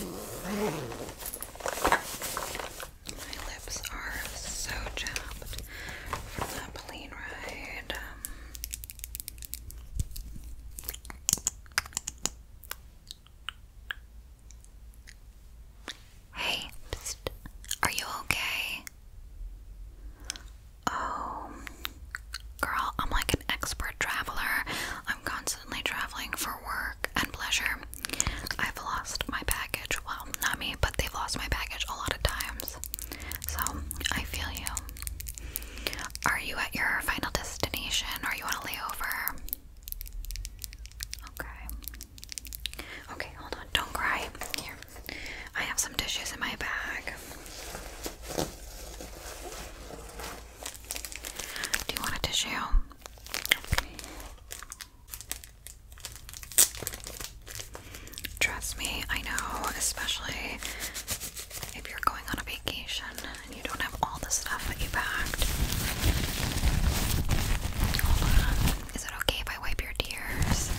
My lips are so chapped from that plane ride. Um, hey, are you okay? Oh, girl, I'm like an expert traveler. I'm constantly traveling for work and pleasure. I've lost my package. Well, not me, but they've lost my package a lot of times. So I feel you. Are you at your final destination or you want to lay Okay. Okay, hold on. Don't cry. Here. I have some dishes in my bag. Do you want a tissue? Trust me, I know, especially if you're going on a vacation and you don't have all the stuff that you packed. Is it okay if I wipe your tears?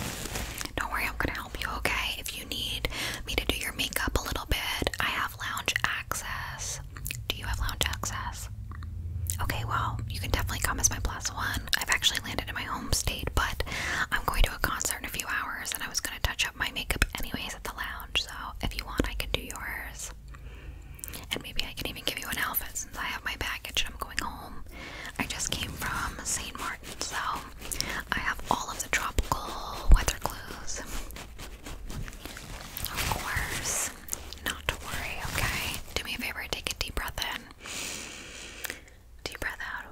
Don't worry, I'm gonna help you, okay? If you need me to do your makeup a little bit, I have lounge access. Do you have lounge access? Okay, well, you can definitely come as my plus one. I've actually landed in my home state, but I'm going to a concert in a few hours and I was going to touch up my makeup anyways at the lounge, so if you want, I can do yours. And maybe I can even give you an outfit since I have my package and I'm going home. I just came from St. Martin, so I have all of the tropical weather clues. Of course not to worry, okay? Do me a favor, take a deep breath in. Deep breath out.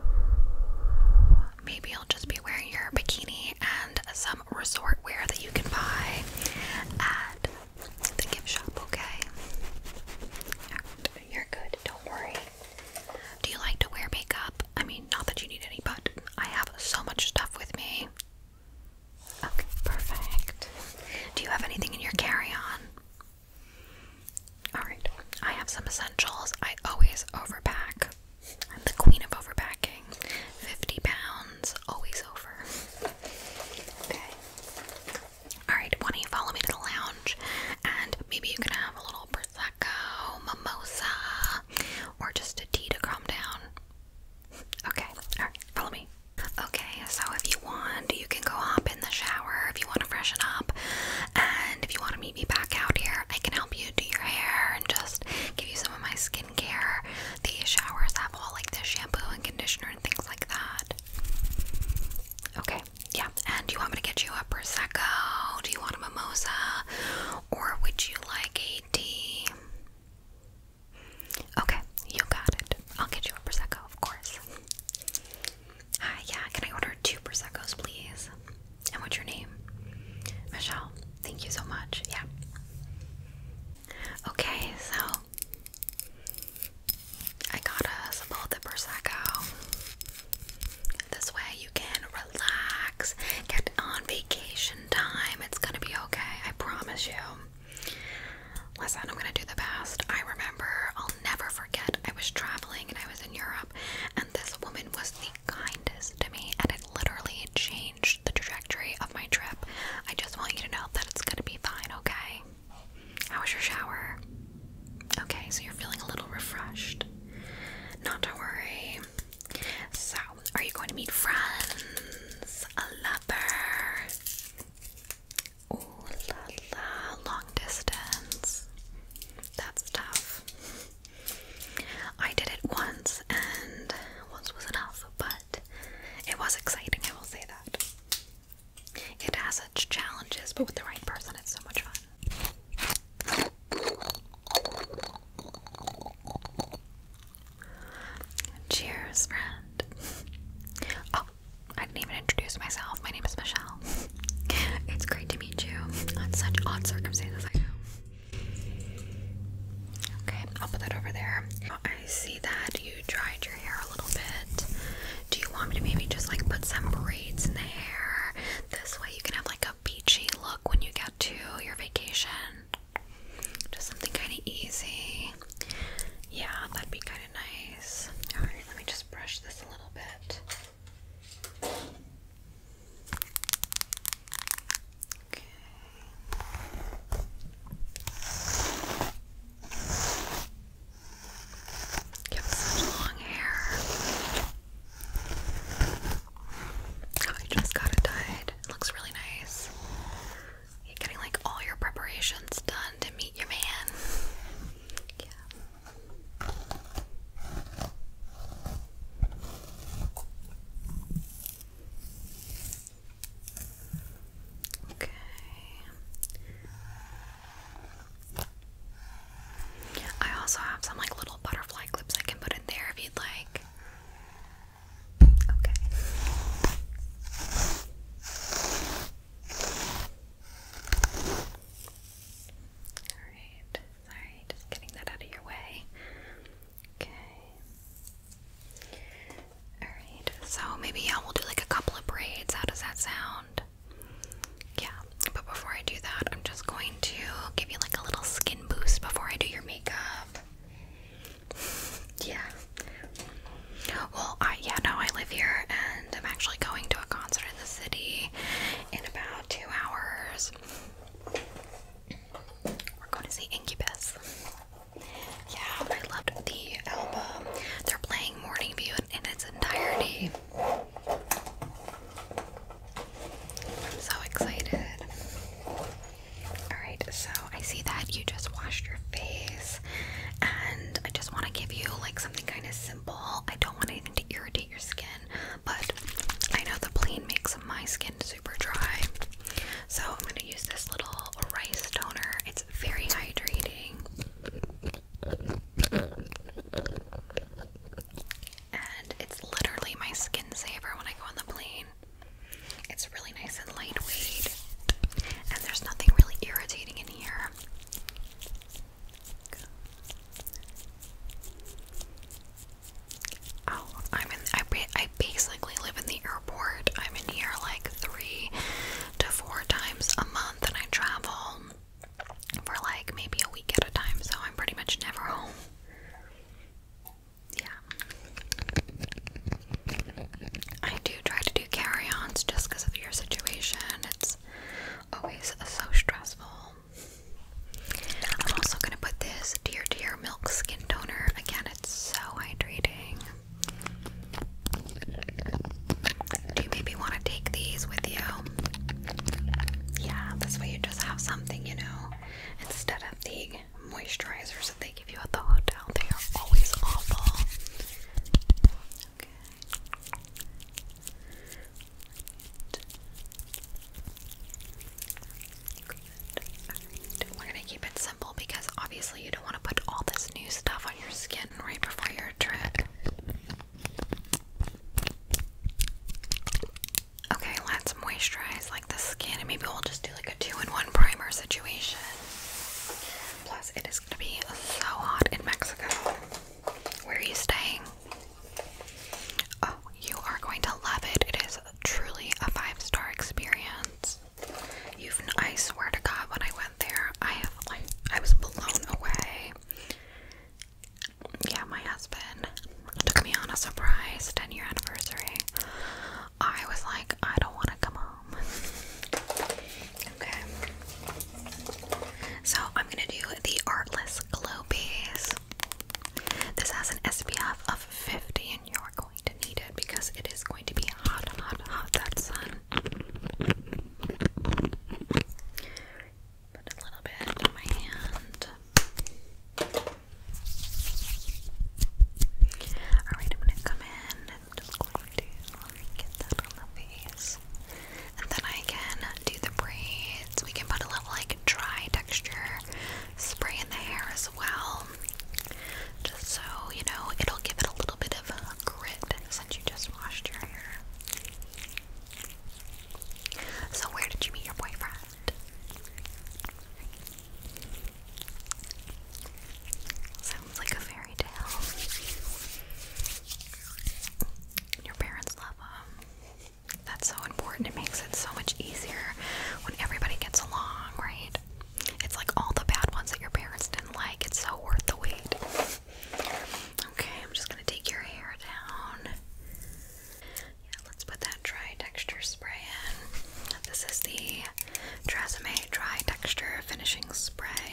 Maybe you'll just be wearing your bikini and some resort wear that you can buy at the gift shop, okay? You're good, don't worry. Do you like to wear makeup? I mean, not that you need any, but I have so much stuff with me. Okay, perfect. Do you have anything in your carry on? Alright, I have some essentials. I always overpack. I'm the queen of overpacking. 50 pounds, always over. Okay. Alright, why don't you follow me to the lounge and maybe you can have a little Prosecco, mimosa, or just a tea to calm down. Okay, alright, follow me. Okay, so if you want, you can go hop in the shower if you want to freshen up. And if you want to meet me back out here, I can help you do your hair and just give you some of my skincare. The showers have all like the shampoo and conditioner and things like that. Okay, yeah. And do you want me to get you a Prosecco? Do you want a mimosa? Or would you like a tea? Okay, you got it. I'll get you a prosecco, of course. Hi, uh, yeah, can I order two proseccos, please? And what's your name? Michelle. Thank you so much. Yeah. Okay, so I got us both the prosecco. This way you can relax, get on vacation time. It's gonna be okay. I promise you. Listen, I'm gonna do the best. I remember, I'll never forget, I was traveling and I was in Europe, and this woman was the kindest to me, and it literally changed the trajectory of my trip. I just want you to know that it's gonna be fine, okay? How was your shower? Okay, so you're feeling a little refreshed. Not to worry. So, are you going to meet friends? A lover? Ooh la la. Long distance. That's tough. I did it once and once was enough, but it was exciting, I will say that. It has its challenges, but with the right person, it's so much fun. Cheers, friend. Oh, I didn't even introduce myself. My name is Michelle. It's great to meet you. On such odd circumstances, I know. Okay, I'll put that over there. I see that you dried your hair a little bit. Do you want me to maybe just like put some braids in the hair? This way you can have like a beachy look when you get to your vacation. Just something kind of easy. Yeah, that'd be kind of nice. Alright, let me just brush this a little bit. Okay. You have such long hair. Oh, I just got it dyed. It looks really nice getting like all your preparations done to meet your man. Okay. I also have some like little butterfly clips I can put in there if you'd like. Okay. Alright, sorry, getting that out of your way. Okay. Alright, so maybe yeah, will do like a couple of braids. How does that sound? Yeah, but before I do that, I'm just going to give you like a little skin boost before I do your makeup yeah. Well, I yeah, no, I live here and I'm actually going to a concert in the city in about two hours. We're going to see Incubus. Yeah, I loved the album. They're playing Morning View in, in its entirety. I'm so excited. Alright, so I see that you just washed your face, and I just want to give you like something kind of simple. I don't want anything to irritate your skin, but I know the plane makes my skin super dry. So I'm going to use this little rice toner, it's very hydrating. And it's literally my skin saver when I go on the plane. It's really nice and lightweight, and there's nothing really irritating in here. Oh, I'm in. I I basically live in the airport. I'm in here like three to four times a month, and I travel for like maybe a week at a time. So I'm pretty much never home. Yeah. I do try to do carry ons just because of your situation. It's always so stressful. I'm also going to put this Dear Dear Milk Skin Toner. Again, it's so hydrating. Do you maybe want to take these with you? Yeah, this way you just have something, you know, instead of the moisturizers that they give you at the hotel. They are always awful. We're gonna keep it simple because obviously you don't want to put all this new stuff on your skin right before your trip. Okay, let's moisturize like the skin and maybe we'll just do like a two-in-one primer situation. Plus, it is gonna be so hot in Mexico. Where are you staying? Oh, you are going to love it. It is truly a five-star experience. You've, I swear to God, when I went there, I have like I was blown away. Yeah, my husband took me on a surprise 10 year anniversary I was like, I don't want to come home. okay. So I'm going to do the Artless Glow Piece. This has an SPF of 50 and you're going to need it because it is going to be hot, hot, hot, that sun. Put a little bit on my hand. Alright, I'm gonna come in i just going to get that on the face. And then I can do the braids. We can put a little like dry texture spray in the hair as well. Just so, you know, it'll give it a little bit of a grit since you just washed your hair. So where did you meet your boyfriend? Sounds like a fairy tale. Your parents love them. Um, that's so important. It makes it so much easier when everybody gets along, right? It's like all the bad ones that your parents didn't like. It's so worth the wait. Okay, I'm just gonna take your hair down. Yeah, let's put that dry texture spray in. This is the Tresemme Dry Texture Finishing Spray.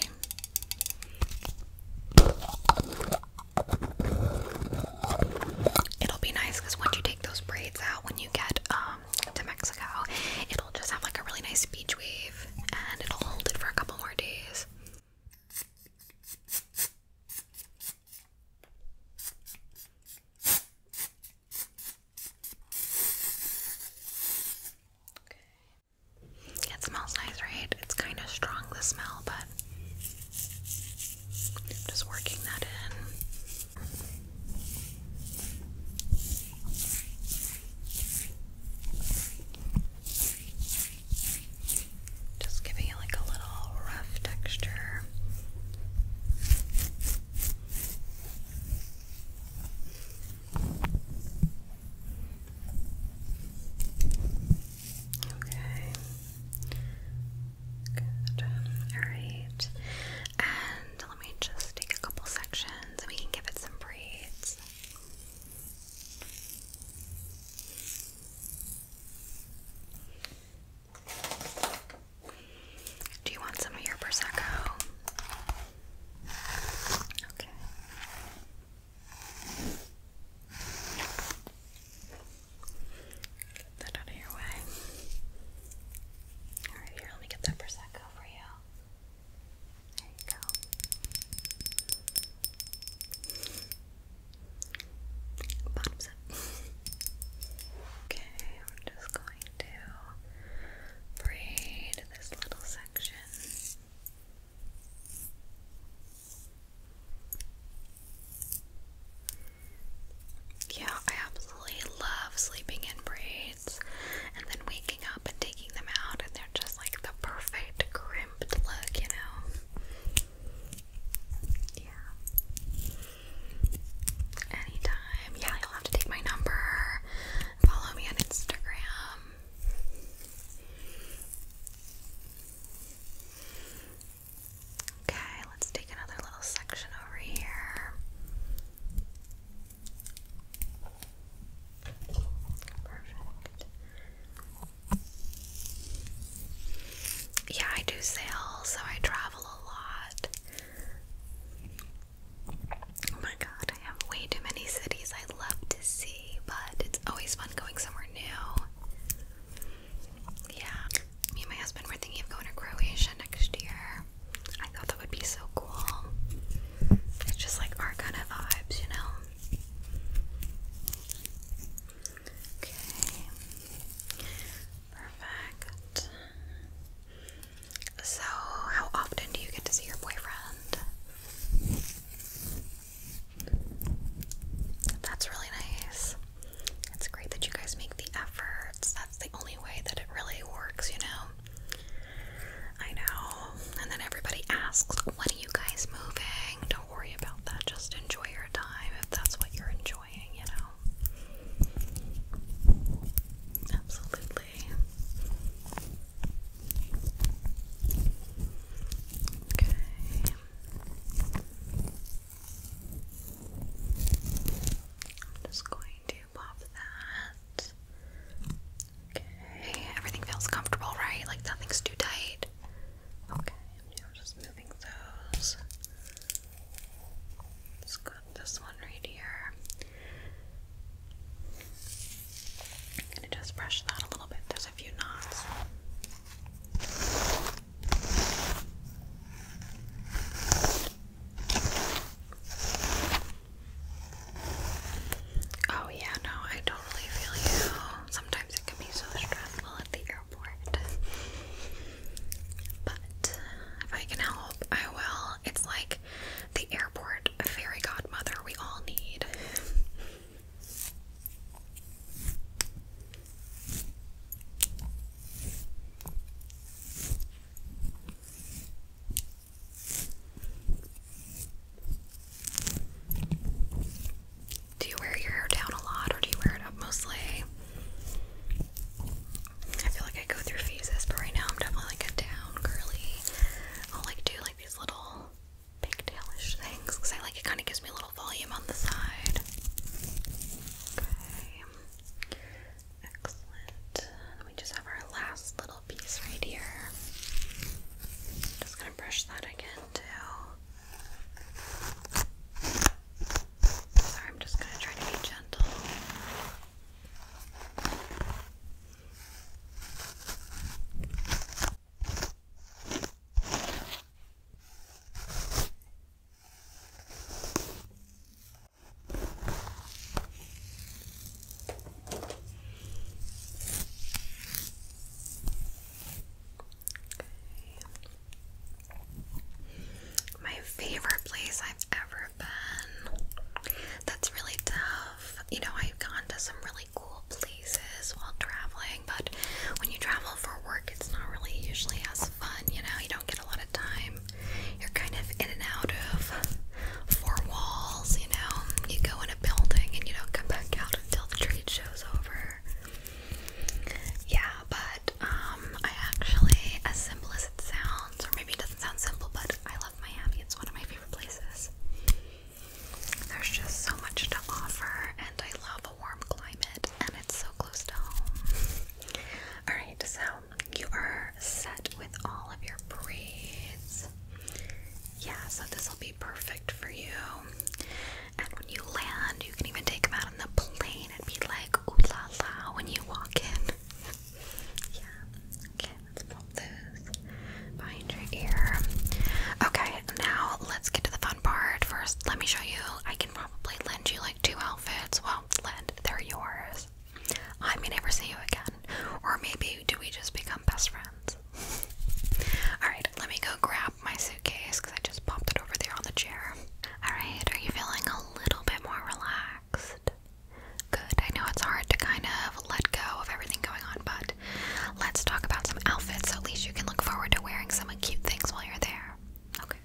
It'll be nice because once you take those braids out, when you get um, to Mexico, it'll just have like a really nice beach wave and it'll hold it for a couple more days. It smells nice, right? It's kind of strong, the smell, but just working that in. Just giving it like a little rough texture. Okay. Good. Alright. And let me just take a couple sections we can give it some braids. Do you want some of your prosecco? Okay. Get that out of your way. Alright, here, let me get that prosecco for you. There you go. Bottoms up. Okay, I'm just going to braid this little section. Yeah, I absolutely love sleeping in braids and then waking up and taking them out, and they're just like the perfect crimped look, you know? Yeah. Anytime. Yeah, you'll have to take my number. Follow me on Instagram. Okay, let's take another little section over here. Yeah, I do sales, so I travel a lot. Oh my god, I have way too many cities I love to see, but it's always fun going somewhere new. Yeah, me and my husband were thinking of going to Croatia next year. I thought that would be so cool. It's just like our kind of vibes, you know? Okay. Perfect. So, how often do you get to see your boyfriend? That's really nice. It's great that you guys make the efforts. That's the only way that it really works, you know? I know. And then everybody asks, when are you guys moving? Don't worry about that. Just enjoy your time if that's what you're enjoying, you know? Absolutely. Okay. I'm just going to pop that. Okay. Everything feels comfortable, right? Like nothing's too tight. Okay. I'm just moving those. let this one right here. gonna just brush that a little bit. There's a few knots. Oh, yeah, no, I totally feel you. Sometimes it can be so stressful at the airport. But if I can help, I will. It's like the airport fairy godmother we all need. Do you wear your hair down a lot or do you wear it up mostly? I feel like I go through phases, but right now I'm definitely like a down curly. I'll like do like these little pigtailish things because I like it kind of gives me a little volume on the side. Okay, excellent. Let just have our last little piece right here. Just gonna brush that again too. Sorry, I'm just gonna try to be gentle. Okay. My favorite place I've ever urban. That's really tough. You know, I've gone to some really cool places while traveling, but when you travel for work, it's not really usually as fun. You know, you don't get a lot of time. You're kind of in and out of four walls. You know, you go in a building and you don't come back out until the trade show's over. Yeah, but um, I actually, as simple as it sounds, or maybe it doesn't Sounds simple, but I love Miami. It's one of my favorite places. There's just so much to offer, and I love a warm climate, and it's so close to home. Alright, so you are set with all of your braids. Yeah, so this will be perfect for you. And when you land, you can even take them out on the plane and be like, ooh la la, when you walk in. yeah, Okay, let's pop those behind your ear. Okay, now let's get to the fun part. First, let me show you. I can probably lend you like two outfits. Well, lend, they're yours. I may never see you again. Or maybe do we just become best friends? Alright, let me go grab my suitcase because I just popped it over there on the chair. Alright, are you feeling a little bit more relaxed? Good. I know it's hard to kind of let go of everything going on, but let's talk about some outfits so at least you can look forward to wearing some cute things while you're there. Okay.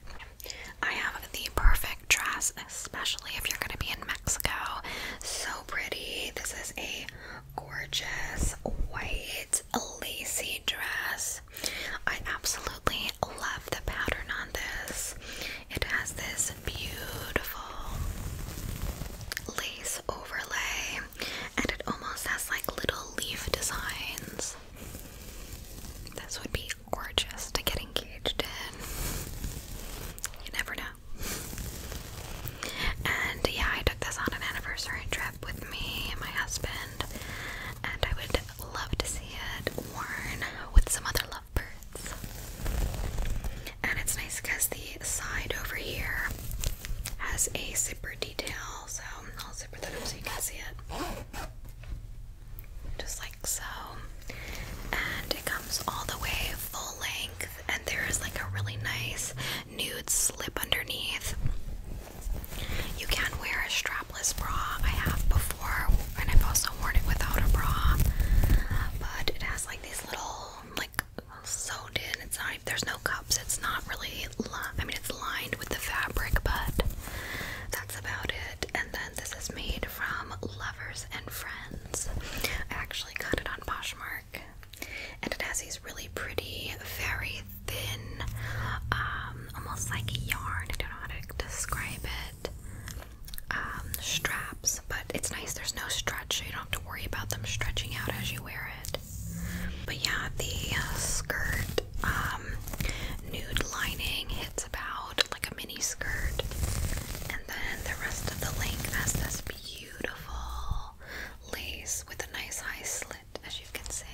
I have the perfect dress, especially if you're going to be in Mexico. So pretty. This is a gorgeous white lacy dress. I absolutely love the pattern on this. It has this beautiful lace overlay and it almost has like little leaf designs. This would be gorgeous to get engaged in. You never know. And yeah, I took this on an anniversary trip with me and my husband, and I would love to see it worn with some other love. And it's nice because the side over here has a zipper detail, so I'll zipper that up so you can see it. Just like so. And it comes all the way full length, and there is like a really nice nude slip underneath. You can wear a strapless bra. I have before, and I've also worn it without a bra, but it has like these little like sewed in. There's no cups. It's not really. I mean, it's lined with the fabric, but that's about it. And then this is made from lovers and friends. I actually cut it on Poshmark, and it has these really pretty, very thin, um, almost like yarn. I don't know how to describe it. Um, straps, but it's nice there's no stretch, so you don't have to worry about them stretching out as you wear it. But yeah, the uh, skirt, um, nude lining hits about like a mini skirt, and then the rest of the length has this beautiful lace with a nice high slit, as you can see.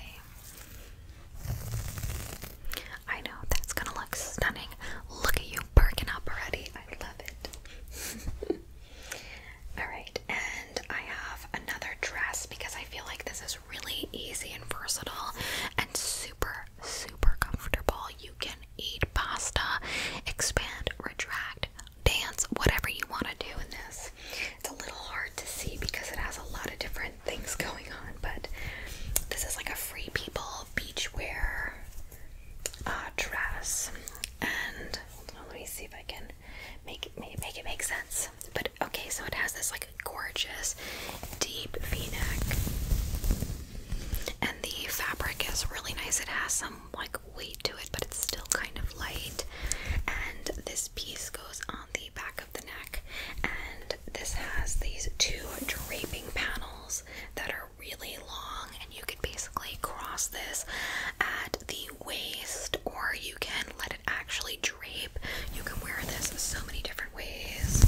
I know that's gonna look stunning. Look at you perking up already. I love it. Alright, and I have another dress because I feel like this is really easy and versatile and super, super comfortable. You can eat pasta, expand, retract, dance, whatever you want to do in this. It's a little hard to see because it has a lot of different things going on, but this is like a free people little beachwear uh, dress, and let me see if I can make it make it make sense. But okay, so it has this like gorgeous deep V-neck, and the fabric is really nice. It has some like weight to it, but it's still kind of light. And this piece goes on the back of the neck, and this has these two draping panels that are really long, and you can basically cross this at the waist, or you can let it actually drape. You can wear this so many different ways.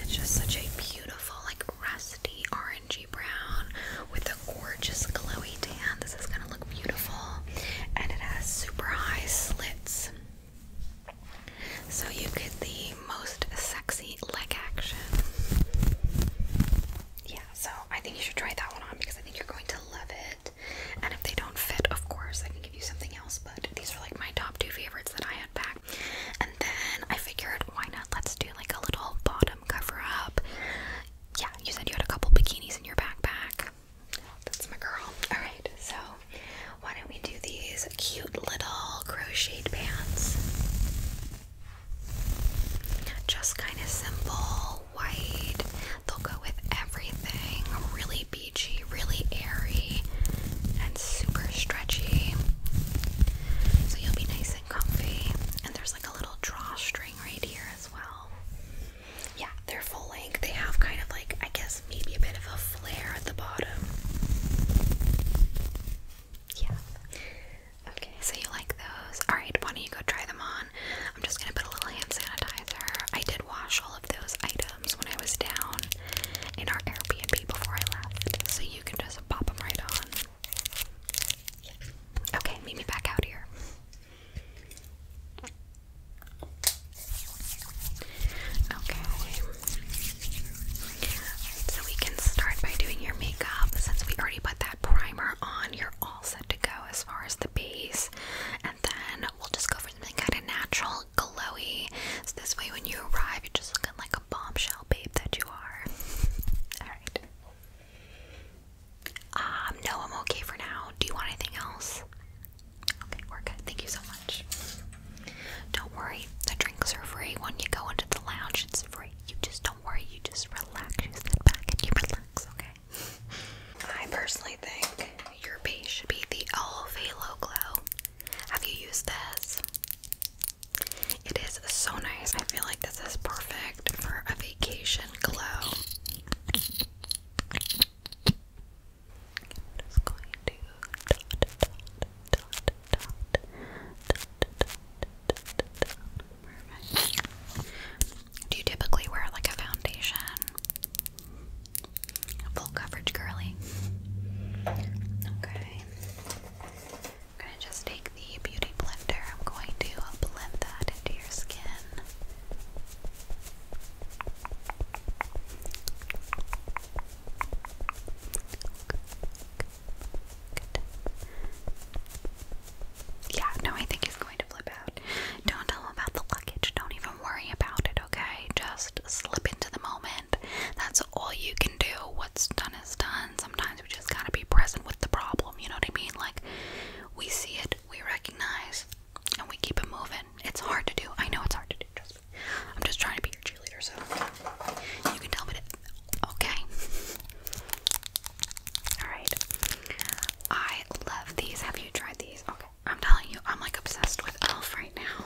It's just such a beautiful, like rusty orangey brown with a gorgeous glowy tan. This is gonna look beautiful, and it has super high slits. So you get the most sexy leg action. Yeah, so I think you should try that one on because I think you're going to love it. And if they don't fit, of course, I can give you something else, but these are like my top two favorites that I had back. And then I figured, why not? Let's do like a little bottom cover up. Yeah, you said you had a couple bikinis in your backpack. That's my girl. Alright, so why don't we do these? cute little crocheted pants. Just kind of simple, white. They'll go with everything. Really beachy, really airy, and super stretchy. So you'll be nice and comfy. And there's like a little drawstring right here as well. Yeah, they're full length. They have kind of like, I guess, maybe a bit of a flare at the bottom. Yeah. Okay, so you like those. Alright, why don't you go try them on? I'm just gonna put a little hand sanitizer. I did wash all of those items when I was down in our Airbnb before I left, so you can just pop them right on. Okay, meet me back out here. Okay. So we can start by doing your makeup since we already put that primer on. You're all set to go as far as the base, and then we'll just go for something kind of natural, glowy. So this way, when you arrive, you're just looking like a bombshell babe that you are. all right. Um, no, I'm okay for now. Do you want anything else? Okay, we're good. Thank you so much. Don't worry, the drinks are free. When you go into the lounge, it's free. You just don't worry, you just relax. You sit back and you relax, okay? I personally think your base should be the Elf Halo Glow. Have you used this? It is so nice. I feel like this is perfect for a vacation glow. I'm just going to dot, dot, dot do you typically wear like a foundation? Full coverage curly. Okay. I'm gonna just take the beauty blender. I'm going to blend that into your skin. Yeah, no, I think he's going to flip out. Don't tell him about the luggage. Don't even worry about it, okay? Just slip into the moment. That's all you can do. What's done is done. Sometimes we just gotta be present with the problem, you know what I mean? Like, we see it, we recognize, and we keep it moving. It's hard to do. I know it's hard to do, trust me. I'm just trying to be your Okay. Alright. I love these. Have you tried these? Okay. I'm telling you, I'm like obsessed with e.l.f. right now.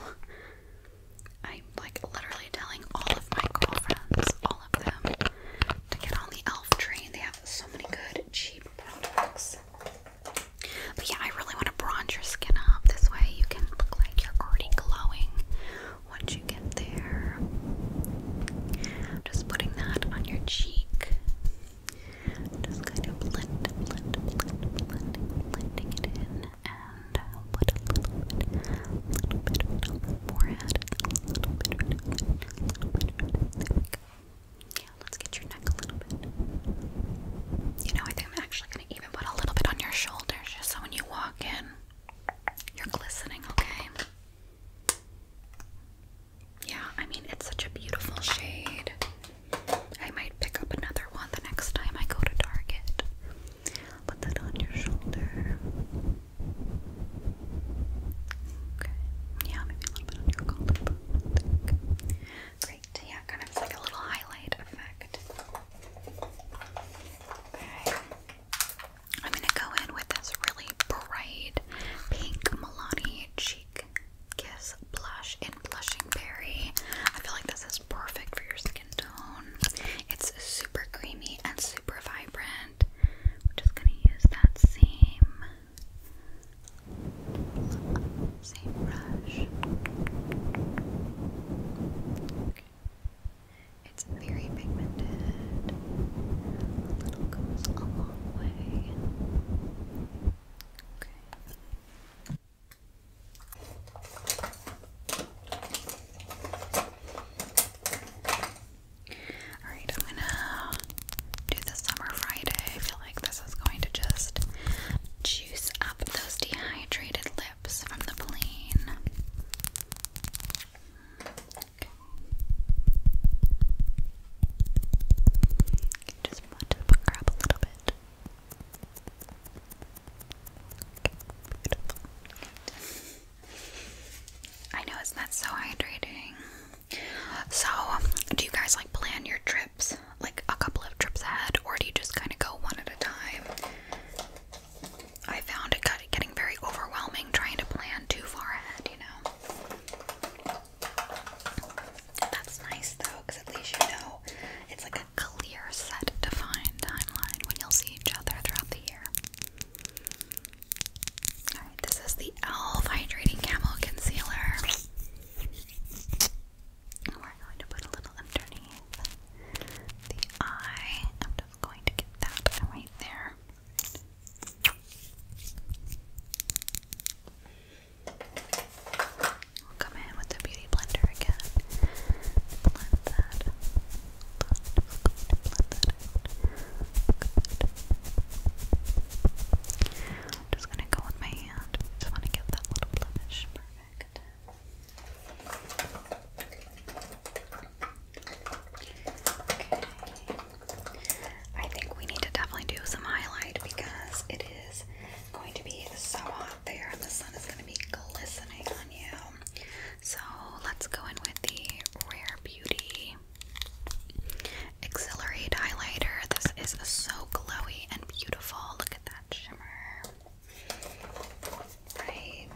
I'm like literally telling all of my girlfriends, all of them, to get on the e.l.f. train. They have so many good, cheap products. But yeah, I really want to bronze your skin up. This way you can look like you're already glowing once you get there. Just putting that on your cheek. Just kind of blend, blend, blending it in, and little bit, little bit forehead, little bit. There we go. Yeah, let's get your neck a little bit. You know, I think I'm actually gonna even put a little bit on your shoulders, just so when you walk in, you're glistening, okay? Yeah, I mean, it's such a beautiful shade. I might pick up another one the next time I go to Target. Put that on your shoulder. Okay. Yeah, maybe a little bit on your collarbone. Great. Yeah, kind of like a little highlight effect. Okay. I'm gonna go in with this really bright pink Milani Cheek Kiss blush in Blushing Berry. I feel like this is perfect for your skin tone. It's super creamy and super vibrant. We're just gonna use that same same brush. It's very pigmented. A little goes a long way. Okay. Alright, I'm gonna do the summer Friday. I feel like this is going to just juice up those dehydrated just want to grab a little bit. I know it's not so hydrating. So, do you guys like plan your trips, like a couple of trips ahead, or do you just kind of go one at a time? I found it getting very overwhelming trying to plan too far ahead, you know. That's nice though, because at least you know it's like a clear, set, defined timeline when you'll see each other throughout the year. Alright, this is the e.l.f. Hydrating Camel Concealer. We're going to put a little underneath the eye just going to get that right there. We'll come in with the beauty blender again. Blend that. Blend that I'm just gonna go with my hand. Just wanna get that little blemish perfect. Okay. I think we need to definitely do some highlight because it is going to be so hot there and the sun is going to be glistening on you. So let's go in with the Rare Beauty Accelerate Highlighter. This is so glowy and beautiful. Look at that shimmer. Right.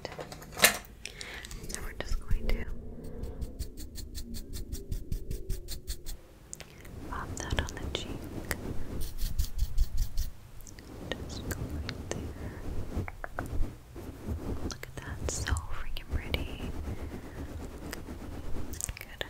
So we're just going to pop that on the cheek. Just go there. Look at that, so freaking pretty. Good.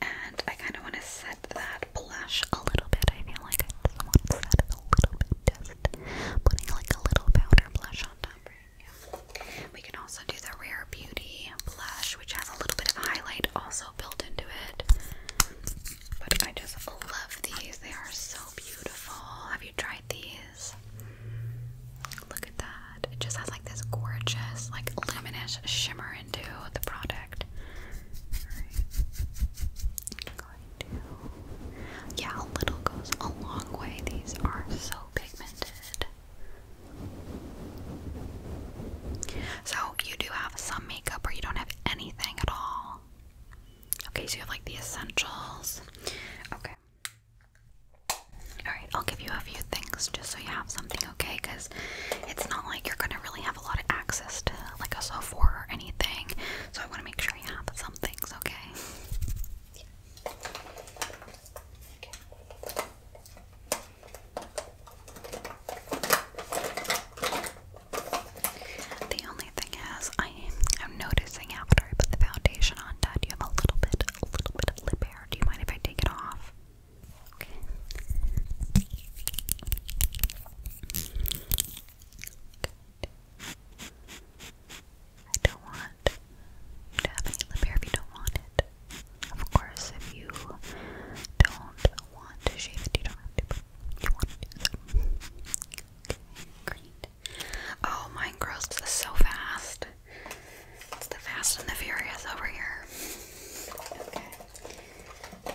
And I kind of want to set that blush a little bit. I feel like I just want to set it a little bit, just putting like a little powder blush on top. We can also do the Rare Beauty blush, which has a little bit of highlight also built into it. But I just love these. They are so beautiful. Have you tried these? Look at that. It just has like this gorgeous, like luminous shimmering into the product. Yeah, a little goes a long way. These are so pigmented. So, you do have some makeup or you don't have anything at all. Okay, so you have like the essentials. Okay. Alright, I'll give you a few things just so you have something okay because it's not like you're gonna really have a lot of access to like a software or anything. So I want to make sure you have some things, okay? okay. The only thing is, I am noticing after I put the foundation on, Dad, you have a little bit, a little bit of lip hair. Do you mind if I take it off? I don't want to have any lip hair if you don't want it. Of course, if you don't want to shave you don't have to, you want to do so. Okay, great. Oh, so fast. It's the Fast and the Furious over here. Okay.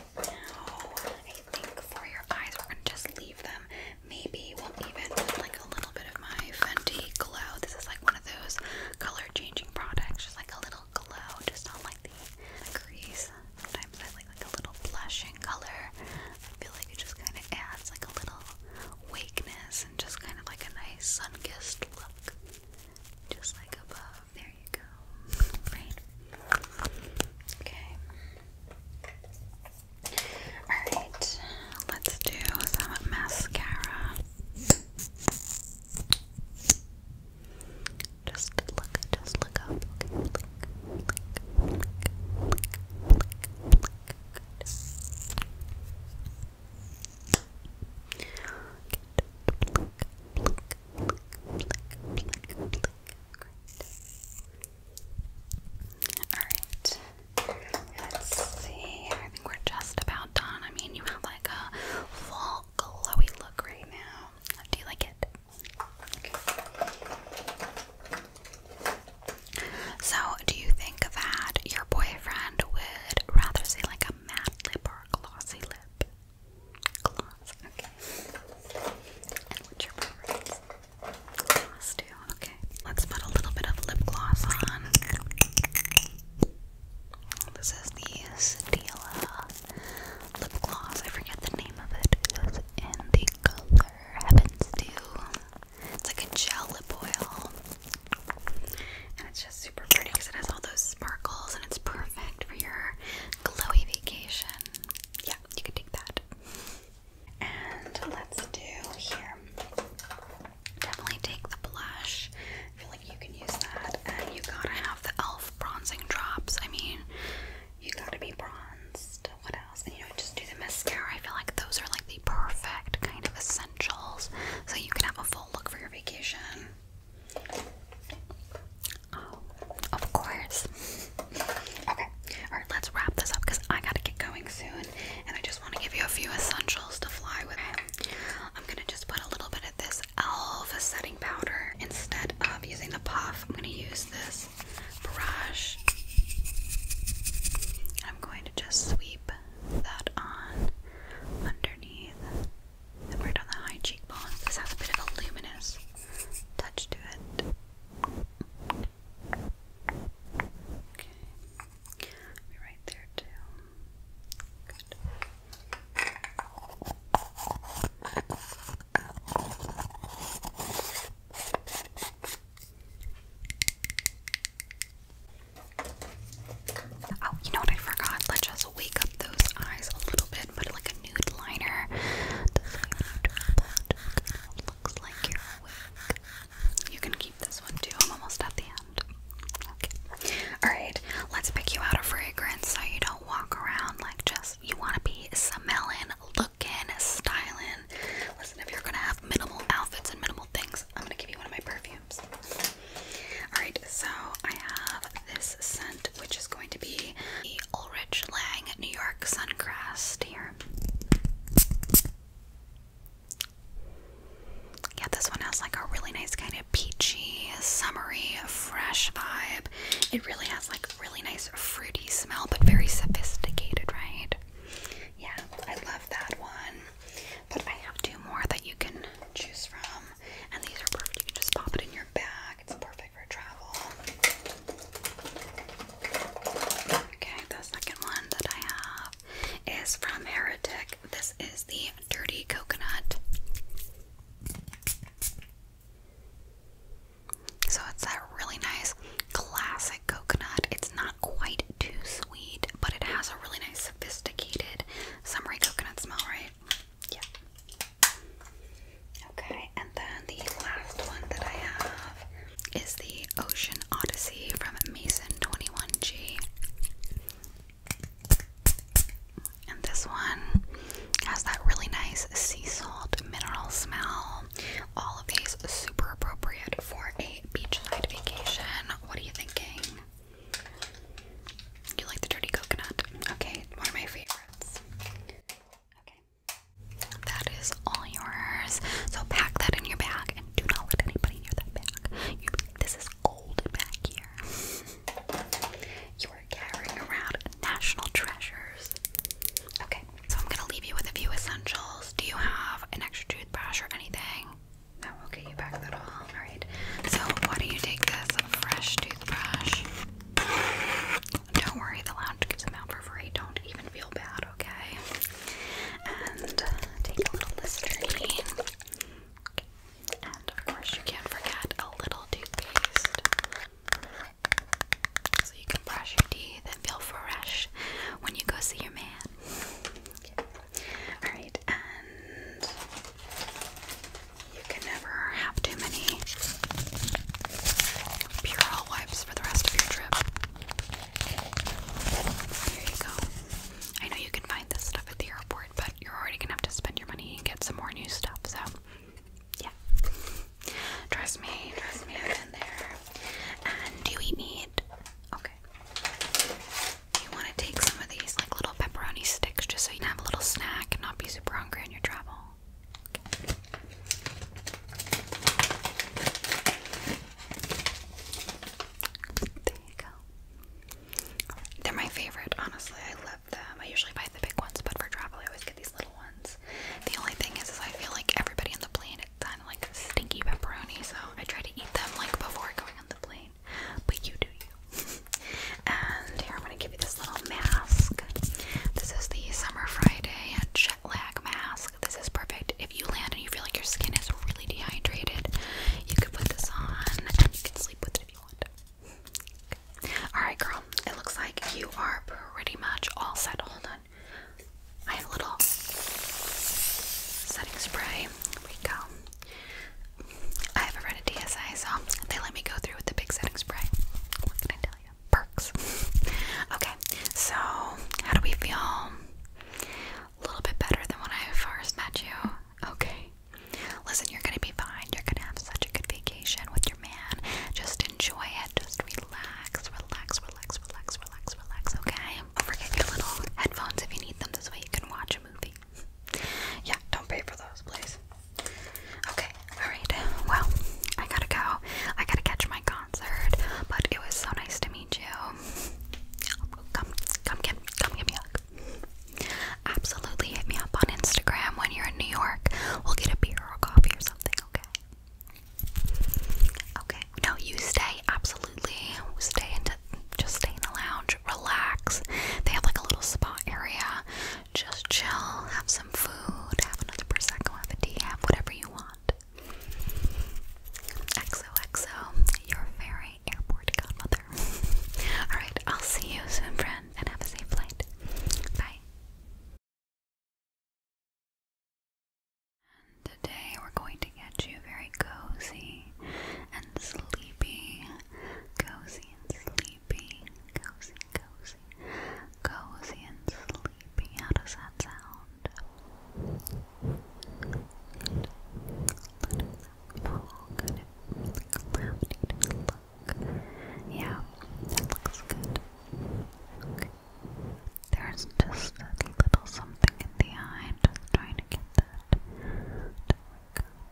Now, I think for your eyes, we're gonna just leave them. Maybe we'll even put like a little bit of my Fenty Glow. This is like one of those color changing products, just like a little glow, just not like the crease. Sometimes I like like a little blushing color. I feel like it just kind of adds like a little wakeness and just kind of like a nice sun kissed look, just like above there you go. Okay. Alright, let's do some mascara. Just look, just look up. Alright. Let's see. I think we're just about done. I mean, you have like a fall glowy look right now. Do you like it? So, do you think that your boyfriend would rather see like a matte lip or glossy lip? Gloss, okay. And what's your preference? Gloss too, okay. Let's put a little bit of lip gloss on. This is the Stila lip gloss. I forget the name of it. It was in the color Heavens Do. It's like a gel lip oil. And it's just super pretty because it has all those sparkles nails it's perfect for your glowy vacation. Yeah, you can take that. And let's do here. Definitely take the blush. I feel like you can use that. And you gotta have the e.l.f. bronzing drops. I mean, you gotta be bronzed. What else? And you know, just do the mascara. I feel like those are like the perfect kind of essentials so you can have a full look for your vacation. Oh, of course. okay, alright, let's wrap this up because I gotta get going soon and I just want to give you a few essentials to fly with. I'm gonna just put a little bit of this e.l.f. setting powder instead of using the puff. I'm gonna use this brush. I'm going to just sweep that on underneath the on the high cheekbones. This has a bit of a luminous touch to it. Okay. Be right there too. Good. Oh, you know what I forgot? Let's just wake up those eyes a little bit, but like a nude liner. looks like you're awake. You can keep this one too. I'm almost at the end. Okay. Alright, let's pick you out a fragrance so you don't walk around like just you wanna be smelling, looking, styling. Listen, if you're gonna have minimal outfits and minimal things, I'm gonna give you one of my perfumes. Alright, so I have this scent which is going to be the Ulrich Lang New York Suncrest here. Yeah, this one has like a really nice kind of peachy, summery, fresh vibe. It really has like really nice fruity smell, but very sophisticated, right? Yeah, I love that one. But I have two more that you can choose from. And these are perfect. You can just pop it in your bag. It's perfect for travel. Okay, the second one that I have is from Heretic. This is the Dirty Coconut. So it's that really nice classic coconut. It's not quite too sweet, but it has a really nice sophisticated summery coconut smell, right? Yeah. Okay, and then the last one that I have is the Ocean Odyssey from Mason21G. And this one has that really nice sea salt mineral smell. All of these super appropriate for a beachside vacation. What are you thinking? You like the dirty coconut? Okay, one of my favorites. Okay. That is all yours. So pack that in your bag and do not let anybody near that bag. You, this is gold back here. You are carrying around national treasures. Okay, so I'm gonna leave you with a few essentials. Do you have an extra toothbrush or anything? that will get you packed that all. Alright, so why don't you take this fresh toothbrush don't worry, the lounge gives them out for free. Don't even feel bad, okay? And take a little mystery. And of course, you can't forget a little toothpaste. So you can brush your teeth and feel fresh when you go see your man. Alright, and you can never have too many Purell wipes for the rest of your trip. Here you go. I know you can find this stuff at the airport, but you're already gonna have to spend your money and get some more new stuff, so yeah. Trust me, trust me, I've been there. And do we need okay. You wanna take some of these like little pepperoni sticks just so you can have a little snack and not be super hungry on your travel. There you go. They're my favorite, honestly. I love them. I usually buy the big ones, but for travel, I always get these little ones. The only thing is, is I feel like everybody on the plane it's kind of like stinky pepperoni, so I try to eat them like before going on the plane. But you do and here I'm going to give you this little mask. This is the Summer Friday jet lag mask. This is perfect if you land and you feel like your skin is really dehydrated. You could put this on and you can sleep with it if you want. Okay. Alright, girl, it looks like you are pretty much all set. Hold on. I have a little setting spray. Here we go. I have a to DSI, so they let me go through with the big setting spray. Perks. okay, so how do we feel? A little bit better than when I first met you. Okay. Listen, you're gonna be fine. You're gonna have such a good vacation with your man. Just enjoy it. Just relax, relax, relax, relax, relax, relax, okay? Don't forget your little headphones if you need them. This way you can watch a movie. Yeah, don't pay for those, please. Okay, alright. Well, I gotta go. I gotta catch my concert. But it was so nice to meet you. Come come get come give me a Absolutely hit me up on Instagram when you're in New York. We'll get a beer or coffee or something, okay? Okay. No, you stay, absolutely. Stay into just stay in the lounge, relax. They have like a little spa area just chill, have some food, have another prosecco, have a tea, have whatever you want. XOXO, your fairy airport godmother. Alright, I'll see you soon, friend, and have a safe flight. Bye. today we're going to get you very cozy and sleepy. Cozy and sleepy. Cozy cozy, cozy and sleepy. How does that sound? Yeah, that looks good. There's just a little something in the eye. just trying to get that.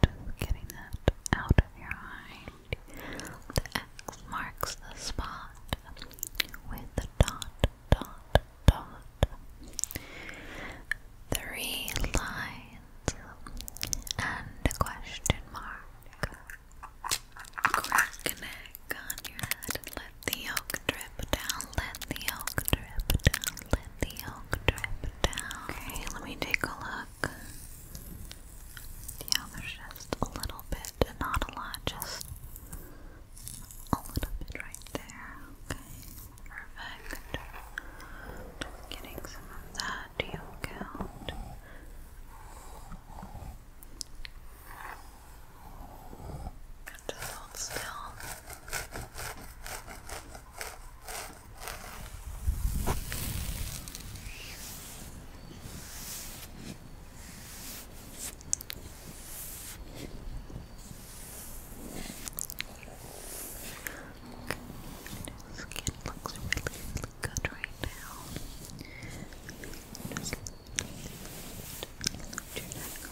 Just getting that out of your eye. The X marks the spot with the dot, dot, dot. Three lines and a question mark. Crack an egg on your head. Let the yolk drip down. Let the yolk drip down. Let the yolk drip down. Okay, let me take a look. Yeah, there's just a little bit, not a lot, just a little bit right there. Okay, perfect. getting some of that to yolk out. Got to your skin looks really, good right now. Just let your neck go.